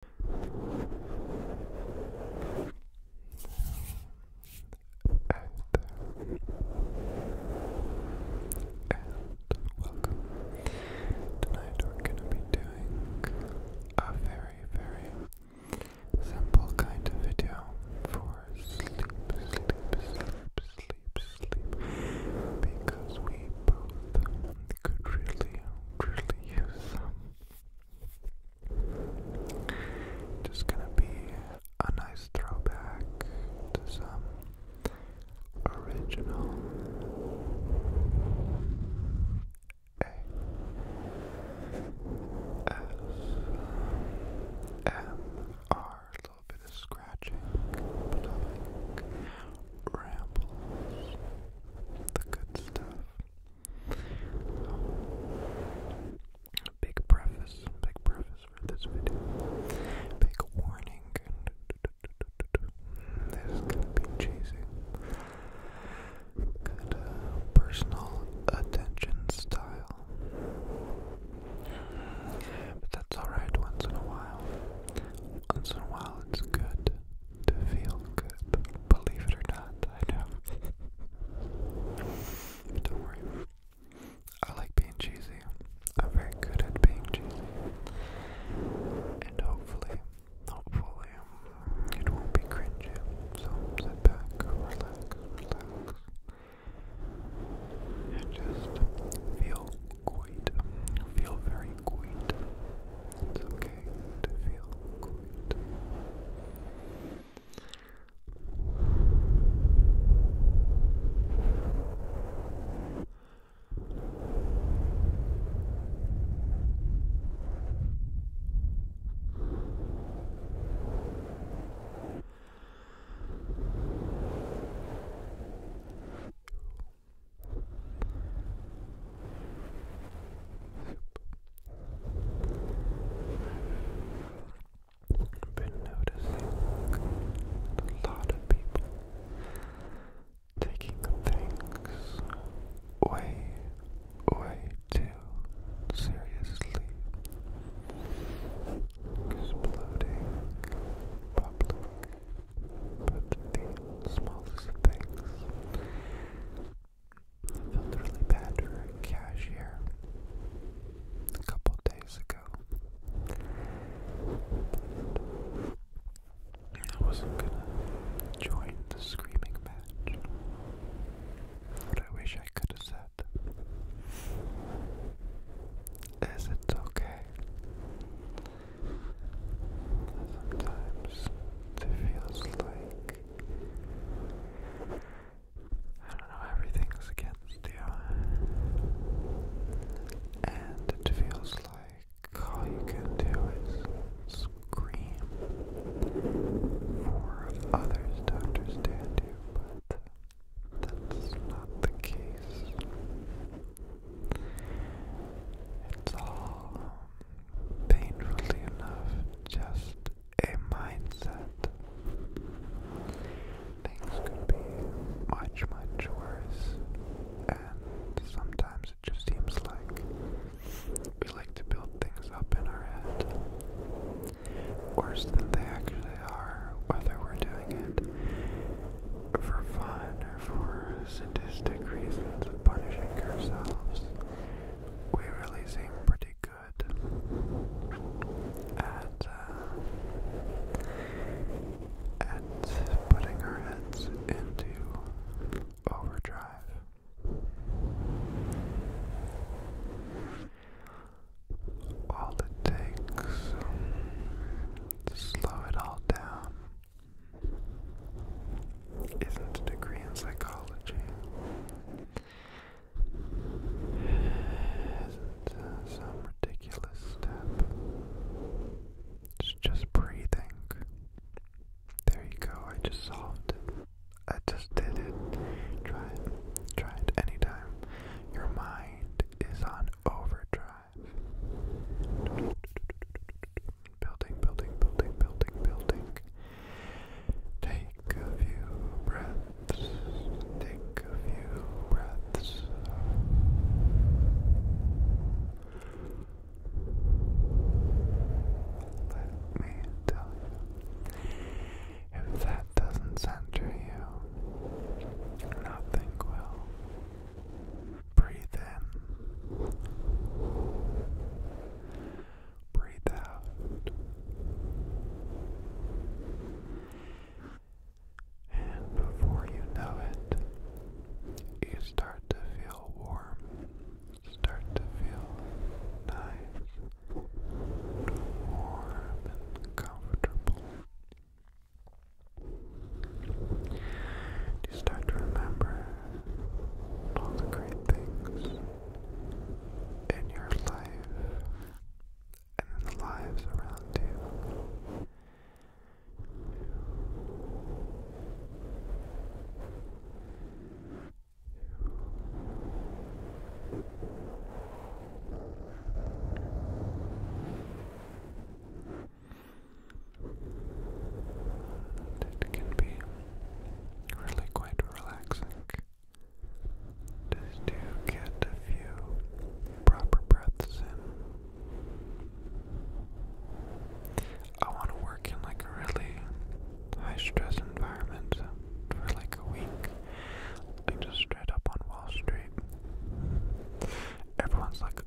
and welcome. Tonight we're going to be doing a very, very simple kind of video for sleep, sleep, sleep, sleep, sleep, because we both could really, really use some just gonna be a nice throwback to some original A S M R. A little bit of scratching, rambles, the good stuff. big preface, big preface for this video. Big warning. There's gonna be chasing. Good uh, personal attention style. But that's alright once in a while. Once in a while it's good to feel good. Believe it or not, I know. Don't worry. I like being cheesy. I'm very good at being cheesy. And hopefully, hopefully, it will be cringy. So sit back, relax, relax. And just feel quite, feel very quaint. It's okay to feel good. I've been noticing a lot of people taking things way, way too seriously. Exploding public but the smallest things. I felt really bad for cashier a couple days ago. I wasn't gonna join the screaming match. What I wish I could have said is it's okay. Sometimes it feels like I don't know, everything's against you. And it feels like all you can do is scream for others to understand you, but that's not the case. It's all painfully enough just a mindset. Things could be much, much worse, and sometimes it just seems like we like to build things up in our head worse than they actually are, whether we're doing it for fun or for sadistic reasons of punishing ourselves, we really seem pretty good at uh, at putting our heads into overdrive. All it takes um, to slow it all down isn't a degree in psychology, uh, some ridiculous step. It's just breathing. There you go, I just solved it. I just did it. Try it. Try it anytime. Your mind is on overdrive drive. Building, building, building, building, building. Take a few breaths. Take a few breaths. Let me tell you, if that doesn't center you, nothing will. Breathe in. Breathe out. And before you know it, you start to feel warm, start to feel nice, warm and comfortable. You start to remember all the great things in your life and in the lives around you. And it can be really quite relaxing just to get a few proper breaths in. I want to work in like a really high stress environment for like a week, like just straight up on Wall Street everyone's like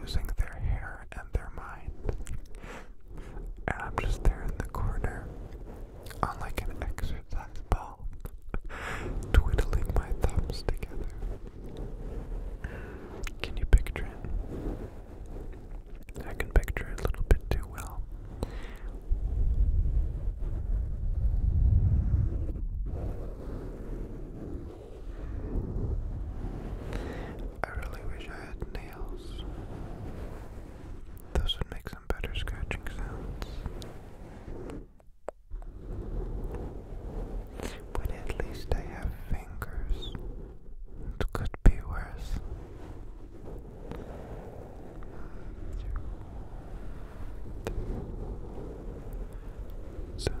losing their hair and their mind. And I'm just there in the corner on like an exercise ball, twiddling my thumbs together. Can you picture it? I can picture it a little bit too well. I really wish I had nails. Those would make some better scratching sounds. But at least I have fingers. It could be worse. So Relax.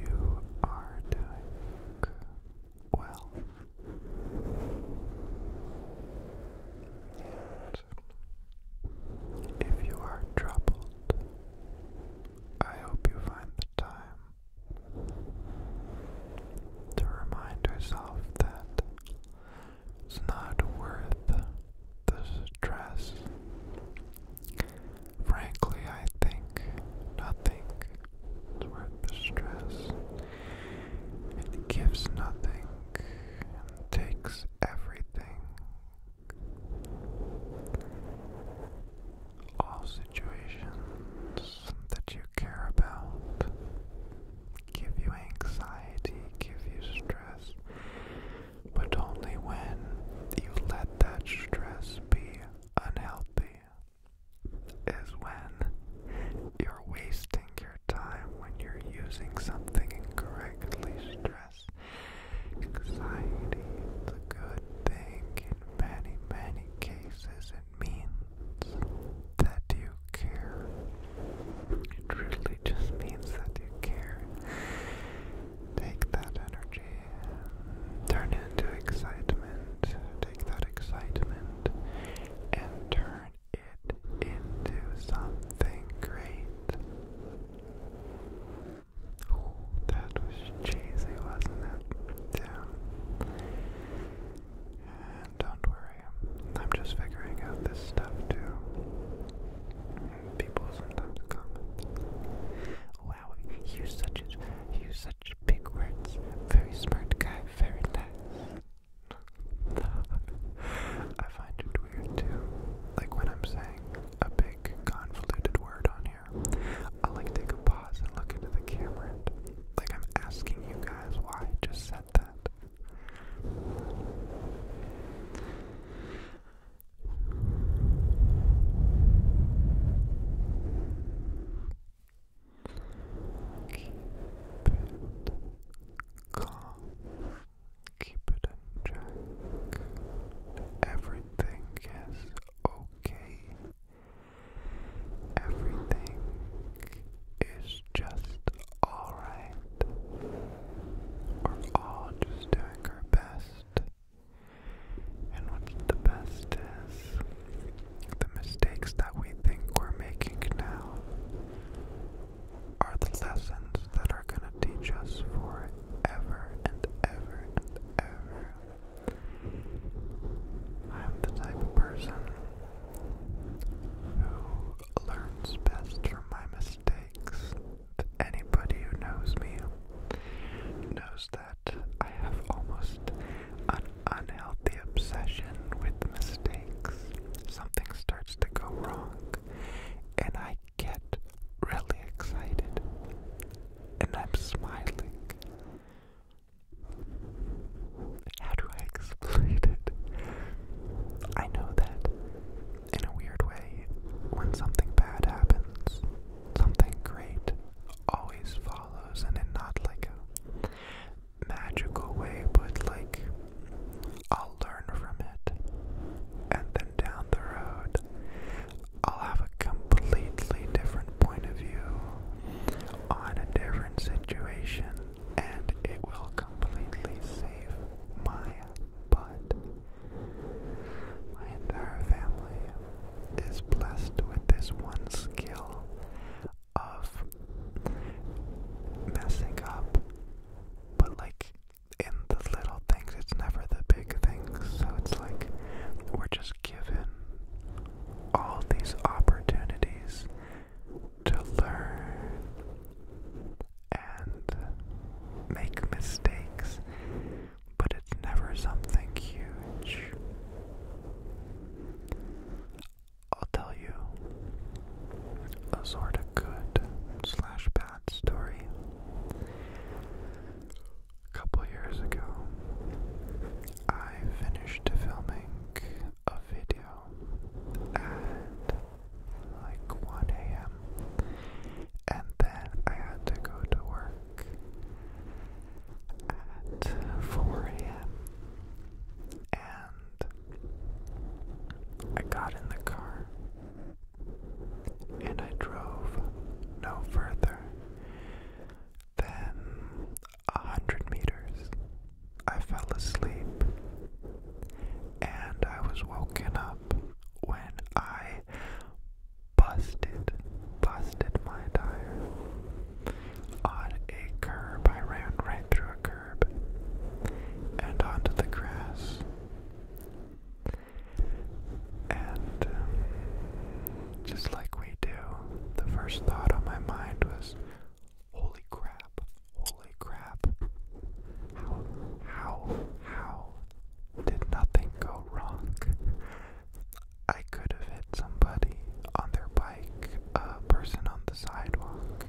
you are doing well. And if you are troubled, I hope you find the time to remind yourself that it's not worth the stress Frankly, I think nothing is worth the stress. It gives nothing and takes everything. All situations that you care about give you anxiety, give you stress, but only when you let that stress be unhealthy is when you're wasting your time when you're using something incorrectly. Stress, anxiety, it's a good thing in many, many cases. It means that you care. It really just means that you care. Take that energy, turn it into excitement, take that excitement, and turn it into something great. Oh, that was cheesy, wasn't it? Yeah. And don't worry, I'm just figuring out this stuff too. People sometimes comment. You he such a, he such big words. Very smart guy, very nice. I find it weird too. Like when I'm saying a big convoluted word on here, I like take a pause and look into the camera. And, like I'm asking you guys why I just said that it calm. Keep it in check. Everything is okay. Everything is just alright. We're all just doing our best and what's the best is the mistakes that we think we're making now are the lessons that are going to teach us forever and ever and ever. I'm the type of person who learns best from my mistakes anybody who knows me knows that I have almost an unhealthy obsession with mistakes. Something starts to go wrong, and I get really excited, and I'm smiling. How do I explain it? I know that in a weird way, when something bad happens, something great always follows, and in not like a magical way, but like I'll learn from it, and then down the road, I'll have a completely different point of view on a different situation, and it will completely save my butt. My entire family is blessed with this one skill of messing up, but like in the little things, it's never the big things. So it's like we're just given all these opportunities to learn and make mistakes, but it's never something huge. I'll tell you a sort of good slash bad story. A couple years ago, I finished filming a video at like 1 a.m and then I had to go to work at 4 a.m. And I got in the car and I drove no further than a hundred meters. I fell asleep and I was woken up when I busted, busted my tire on a curb. I ran right through a curb and onto the grass. And um, just like we do, the first thought on my mind was, "Holy crap! Holy crap! How, how, how did nothing go wrong. I could have hit somebody on their bike, a person on the sidewalk.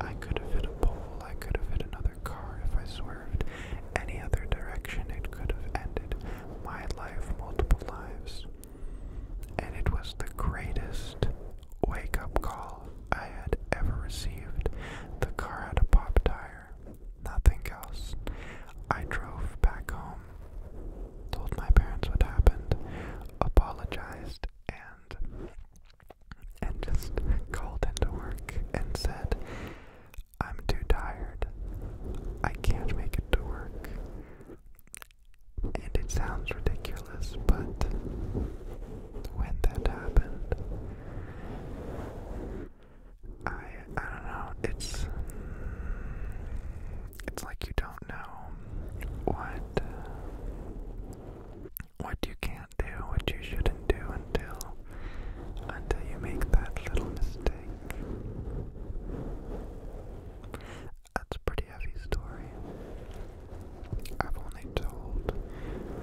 I could have hit a pole. I could have hit another car if I swerved. Any other direction, it could have ended my life, multiple lives. And it was the greatest wake up call I had ever received. The car had a pop tire nothing else. I drove back home, told my parents what happened, apologized, and and just called into work and said, I'm too tired. I can't make it to work. And it sounds ridiculous, but when that happened. I I don't know. It's it's like you don't know what what you can't do, what you shouldn't do until until you make that little mistake. That's a pretty heavy story. I've only told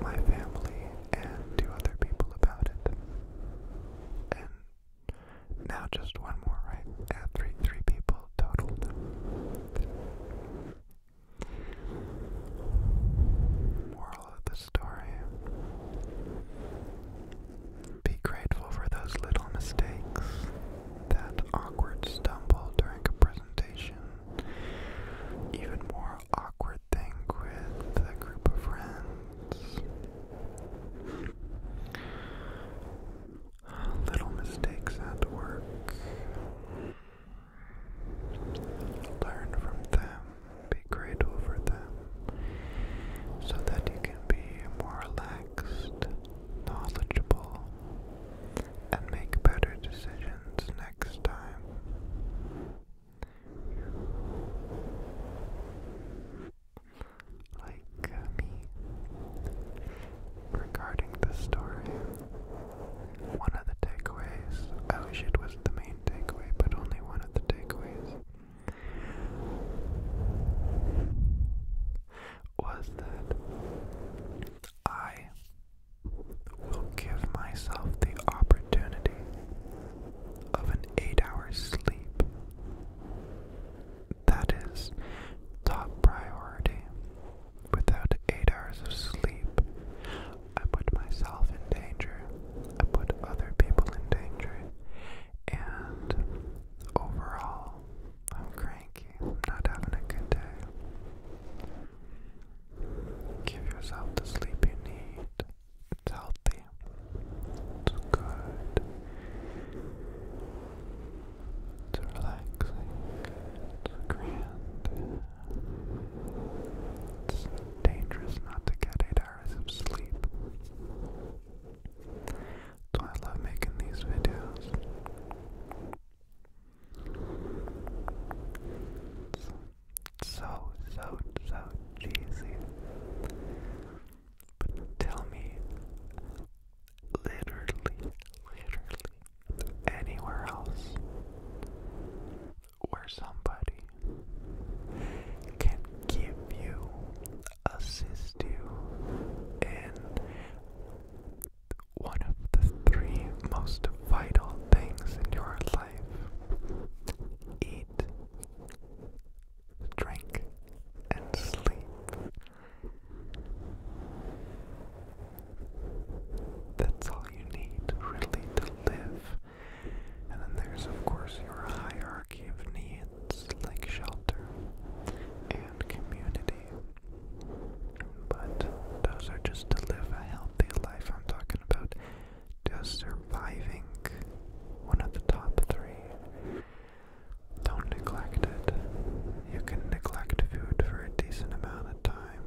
my family and to other people about it. And now just one more, right? add three, three people total. Moral of the story. Be grateful for those little mistakes, that awkward stumble during a presentation, even more awkward hard thing with a group of friends. Little mistakes at work. Learn from them, be grateful for them, so that you can be more relaxed, knowledgeable, and make better decisions next time. Like uh, me. Regarding the story, one of the takeaways, I wish it was the main takeaway, but only one of the takeaways, was that I will give myself the opportunity of an eight hour sleep. That is top priority. Without eight hours of sleep, I put myself in danger, I put other people in danger, and overall, I'm cranky, I'm not having a good day. Give yourself the sleep you need. It's healthy. It's good. It's relaxing. It's grand. It's dangerous not to get eight hours of sleep. That's I love making these videos so, so, so cheesy. tell me, literally, literally, anywhere else where somebody can give you, assist you, in one of the three most vital things in your life eat, drink, and sleep. That's all you need, really, to live. And then there's, of course, your hierarchy of needs like shelter and community but those are just to live a healthy life. I'm talking about just surviving one of the top three. Don't neglect it. You can neglect food for a decent amount of time.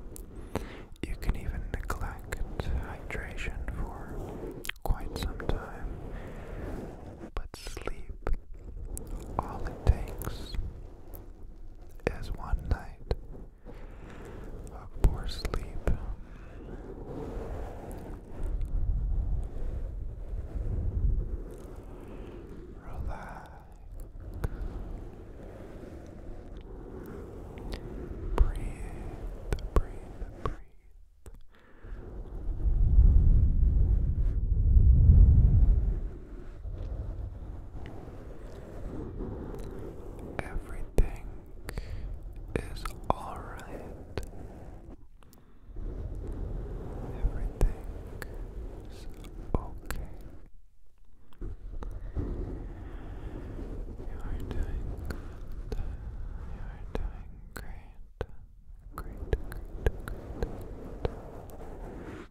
You can even neglect hydration for quite some time. But sleep, all it takes is one night of poor sleep. Relax. Breathe, breathe, breathe. Everything is alright. Everything is okay. You are doing good. You are doing great. Great, great, great.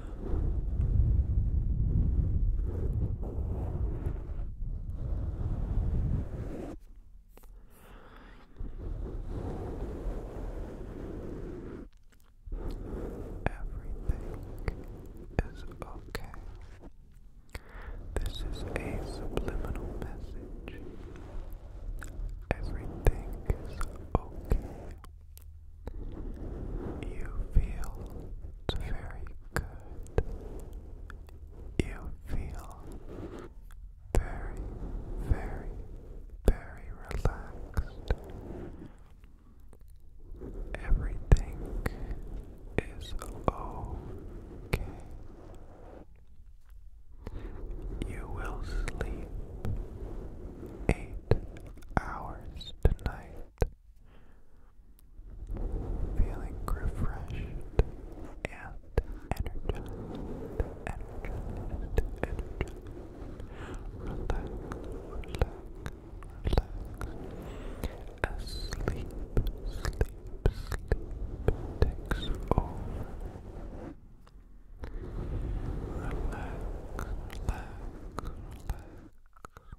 Everything is okay. This is a subliminal message. Everything is okay. You feel very good. You feel very, very, very relaxed. Everything is okay. You will sleep eight hours tonight feeling refreshed and energized, energized, energized. Relax, relax, relax. As sleep, sleep, takes over. relax, relax. Relax,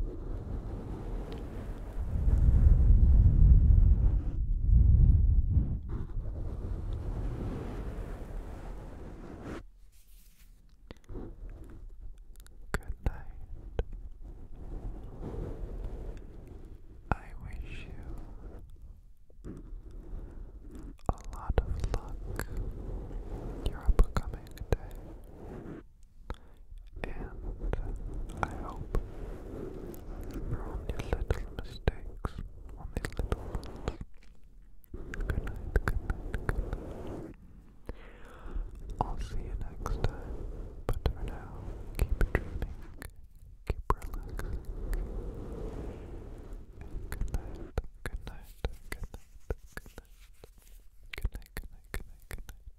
Good night. I wish you a lot of luck. You're becoming day and I hope from these little mistakes, on little ones. Good night, good night, good night. I'll see you next time, but for now, keep dreaming, keep relaxing. good night, good night, good night. Good night, good night, good night, good night.